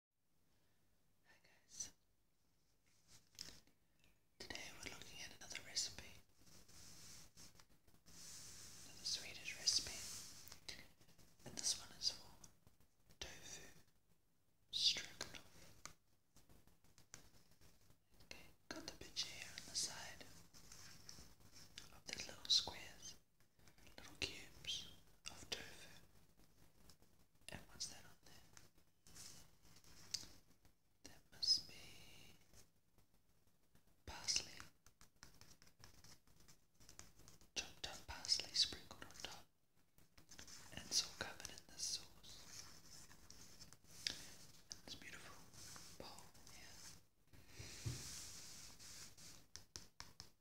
Hi guys. Today we're looking at another recipe. Another Swedish recipe. And this one is for tofu stroganoff. Okay, got the bit here on the side of these little squares, little cubes of tofu. And what's that on there? That must be parsley. Chopped up parsley sprinkled on top. And it's covered in the sauce. And beautiful bowl here.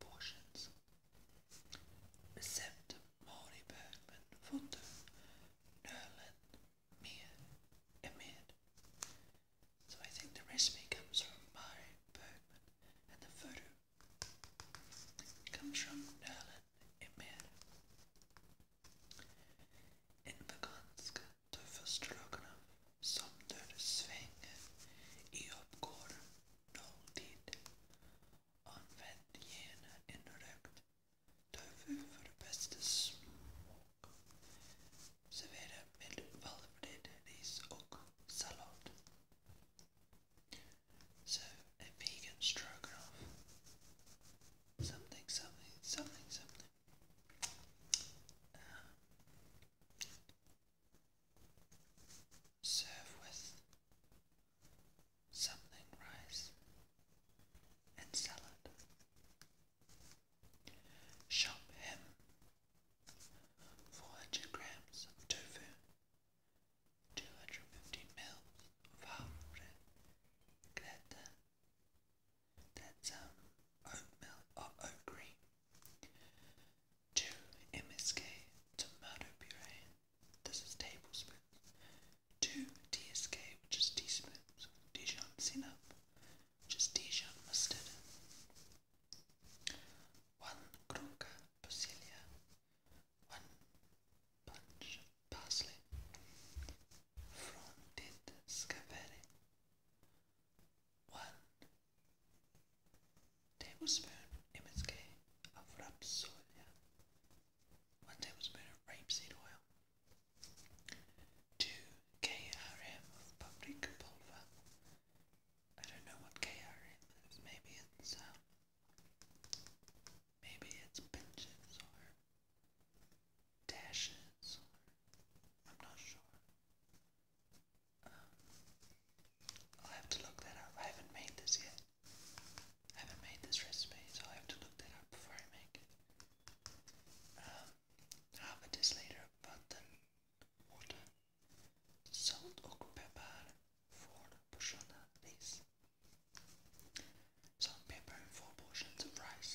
portions. Receptor So I think the recipe comes from Mari Bergman and the photo comes from Nerlin Emir. In Vagansk, Tofu Stroganov, Somder Sveng, Eopgor, nolltid. Använd gärna en rökt tofu för det bästa smak. Servera med valvrädd ris och sallad. Serve a vegan stroganoff. Something, something, something, something. Serve with something rice and salad. Shop him 400 grams of tofu, 250 mils of half-bread greta. That's um, oatmeal or uh, oat cream. 2 MSK tomato puree. This is tablespoons. 2 TSK, which is teaspoons. Dijon senap, just is Dijon mustard. 1 Gronka basilia. 1 bunch parsley. From dead scavere. 1 tablespoon MSK of rapsolia, one tablespoon of rapeseed oil, two KRM of paprika pulver. I don't know what KRM is. Maybe it's um, maybe it's pinches or dashes. I'm not sure i have to look that up. I haven't made this yet. I haven't made this recipe, so I have to look that up before I make it. Um, half a deciliter of button water, salt och pepper for portioner, please. Salt, pepper, and portions of rice.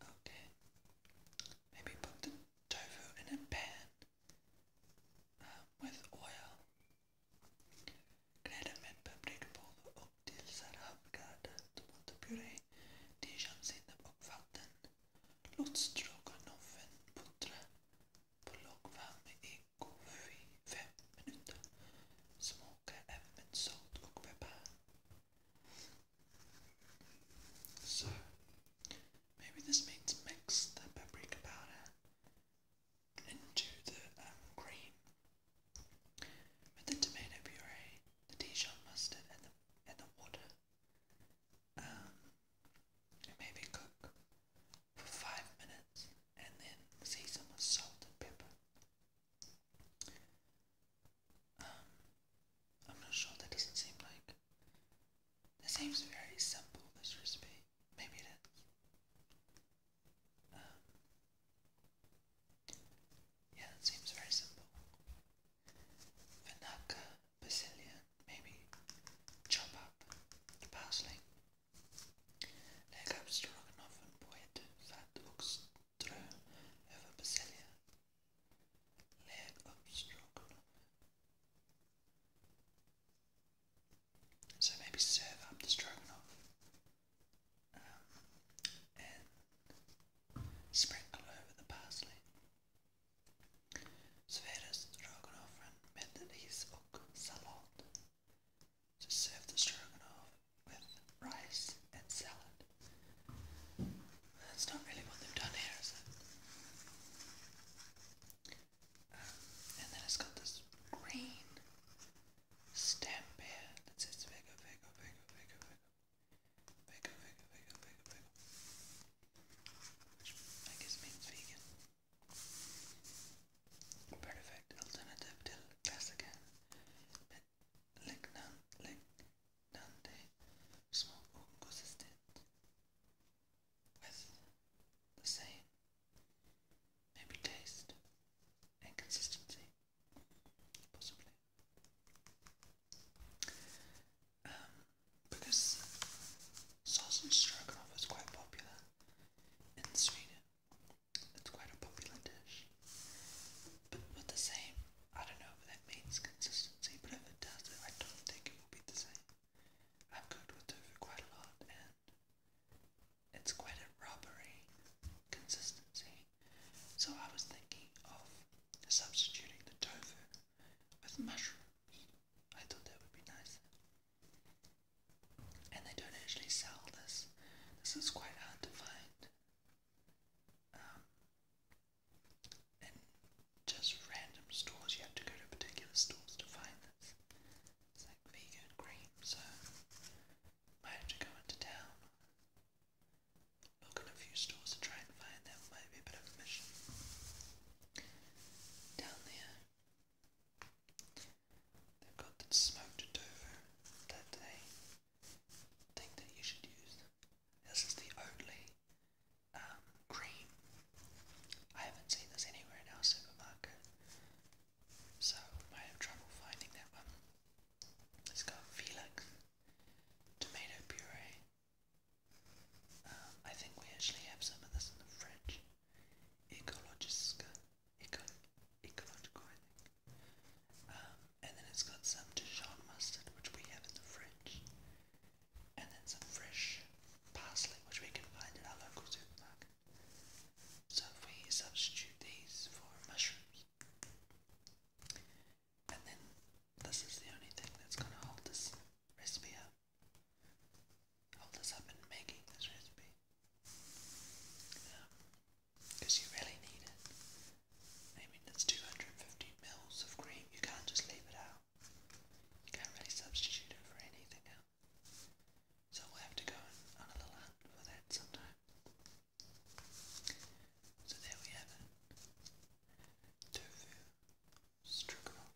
Okay. Maybe put the tofu in a pan um, with oil. Grädden med paprikapulver och tillsätt havgarden, tomatpuré, dijonsinnep och vatten. Låt stroganoffen puttra på låg värme i 5 minuter. Smaka även med salt och peppar. So, maybe this means mix the paprika powder into the um, cream with the tomato puree, the Dijon mustard, and the, and the water. Um, and maybe cook for five minutes and then season with salt and pepper. I'm not sure that doesn't seem like that seems very simple this recipe. Maybe it is. Um, yeah, it seems very simple. Vinaka, basilian, maybe chop up parsley. Leg abstract, often poet, fat ox through over basilia, layered obstruct. So maybe serve up the stroganoff and sprinkle over the parsley. Svedas Stroganoff recommended his oak salad to serve the stroganoff with rice and salad. That's not really what they've done here, is it? and then it's got this green stamp here that says Vega, Vega, Vega, Vega, Vega, Vega, Vega, Vega, Vega, Vega, which I guess means vegan. Perfect alternative to classic lignante small organ consistent with the same, maybe taste and consistency, possibly. Um, because sausage stroganoff is quite popular in Sweden, it's quite a popular dish. But with the same, I don't know that means consistency, but if it does, I don't think it will be the same. I've cooked with tofu quite a lot, and it's quite a rubbery consistency. So I was thinking of substituting the tofu with mushroom meat. I thought that would be nice. And they don't actually sell this. This is quite hard to find. Um, and just random stores, you have to go to particular stores to find this. It's like vegan cream, so might have to go into town. Look in a few stores to try and find that might a bit of a mission. Down there they've got the smoked tofu that they think that you should use. This is the only um, cream. I haven't seen this anywhere in supermarket, so might have trouble finding that one. It's got Felix, tomato puree. Um, I think we actually have some of this in the fridge. Ecologiska eco- ecological, um, and then it's got some Dijon mustard, which we have in the fridge, and then some fresh parsley, which we can find at our local supermarket. So we substitute these for mushrooms, and then this is the only thing that's going to hold this recipe up, hold this up in making this recipe. Um, because you really need it. I mean, that's 250 mils of cream, you can't just leave it out. You can't really substitute it for anything else. So we'll have to go on a little hunt for that sometime. So there we have it. Tofu stroganoff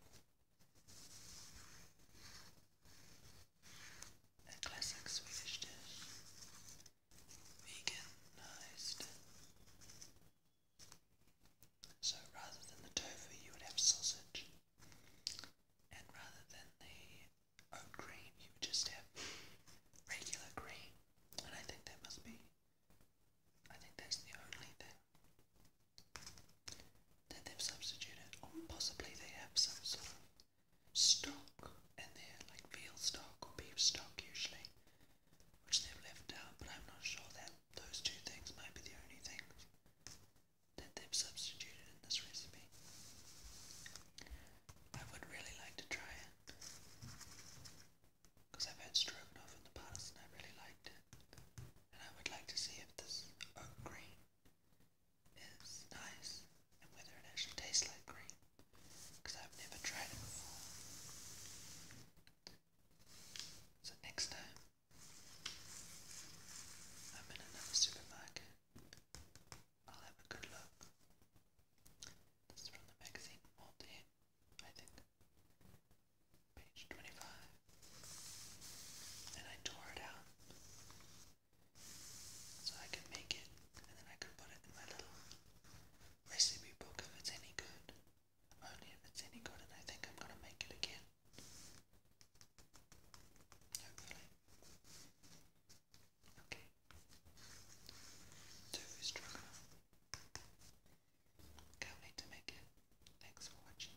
a classic Swedish dish, veganized. So rather than the tofu, you would have sausage, and rather than the oat cream, you would just have regular cream. And I think that must be, I think that's the only thing that they've substituted, or possibly they have some sort of stock they're like veal stock or beef stock usually, which they've left out, but I'm not sure that those two things might be the only things that they've substituted in this recipe. I would really like to try it, because I've had stroganoff in the past and I really liked it, and I would like to see if this oat is nice and whether it actually tastes like cream because I've never tried it before. So next time I'm in another supermarket, I'll have a good look. This is from the magazine Mold I think. Page 25. And I tore it out so I could make it, and then I could put it in my little recipe book if it's any good. Only if it's any good, and I think I'm gonna make it again. Hopefully. Okay. Tofu struggle. Can't to make it. Thanks for watching.